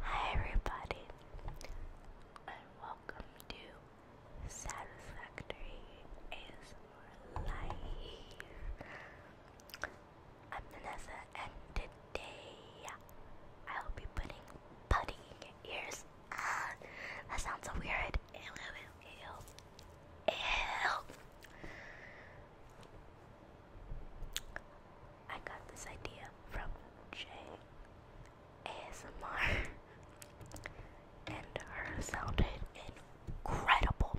Hi everybody welcome to Satisfactory ASMR I'm Vanessa and today I will be putting putty ears. Ah, that sounds so weird. Ew, ew, ew, ew. I got this idea from Jay ASMR, and her sounded incredible.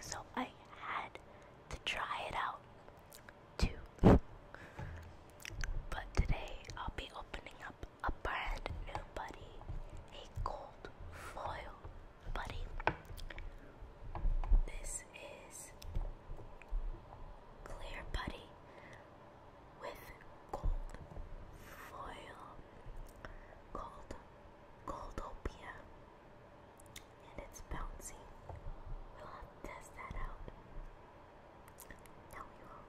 So I had to try it out too. But today I'll be opening up a brand new buddy, a gold foil buddy. This is clear putty with gold foil gold, Goldopia, and it's bouncy. We'll test that out. No, we won't.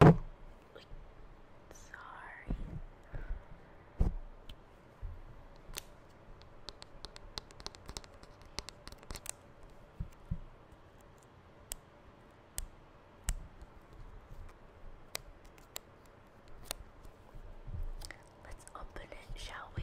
sorry. Let's open it, shall we?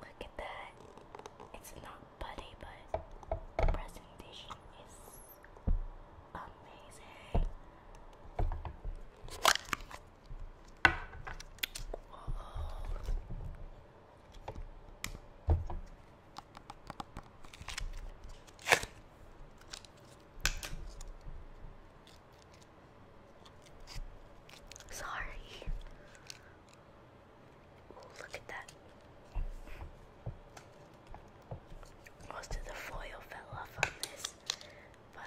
Look at that. It's not putty, but presentation is amazing. Sorry. Look at that. Most of the foil fell off on this, but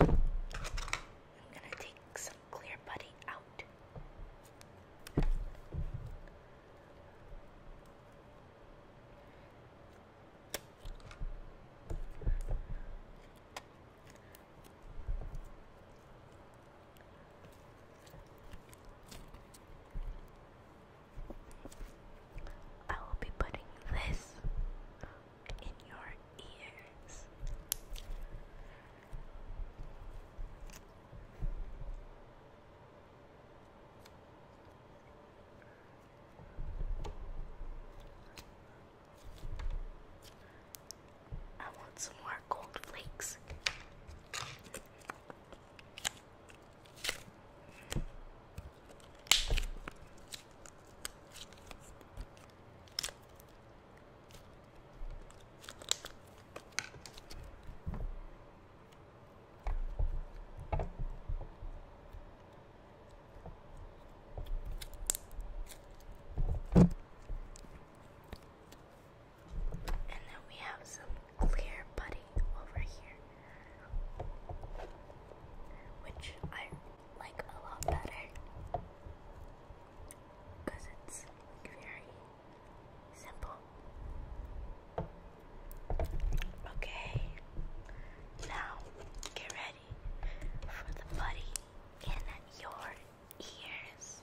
I'm gonna take some clear putty out. I will be putting this in your ears. I want some more gold flakes. And then we have some clear putty over here, which I like a lot better because it's very simple. Okay, now get ready for the putty in your ears.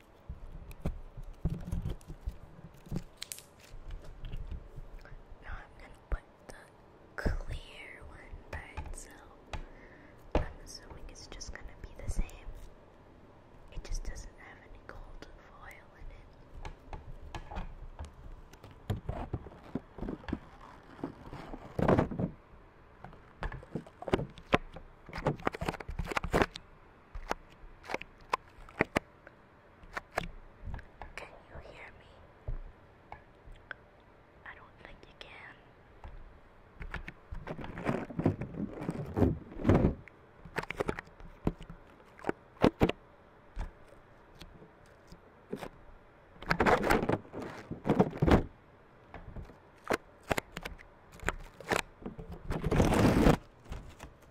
Now I'm gonna put the clear one by itself. I'm assuming it's just gonna be the same. It just doesn't have any gold foil in it. Can you hear me? I don't think you can.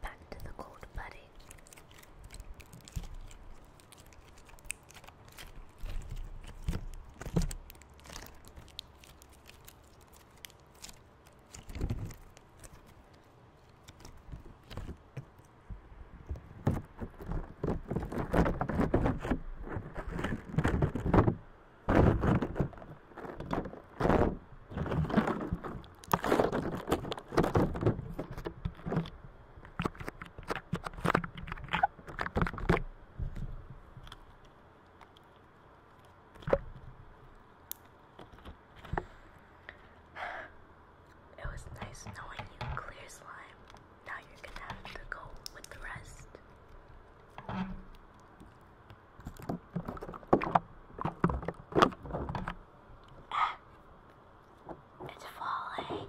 Back to the cold pudding. It was nice knowing you, Clear Slime. Now you're gonna have to go with the rest. Ah, it's falling.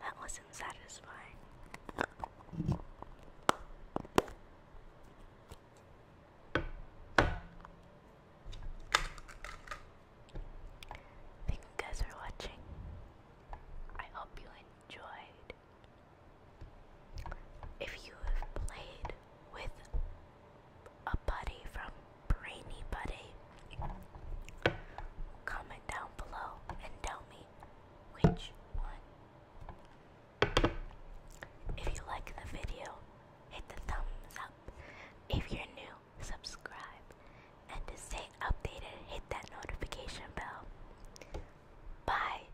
That wasn't satisfying. Thank you guys for watching. I hope you enjoyed. If you have played with a buddy from Brainy Buddy, comment down below and tell me which one. If you like the video, hit the thumbs up. If you're new, subscribe. And to stay updated, hit that notification bell. Bye.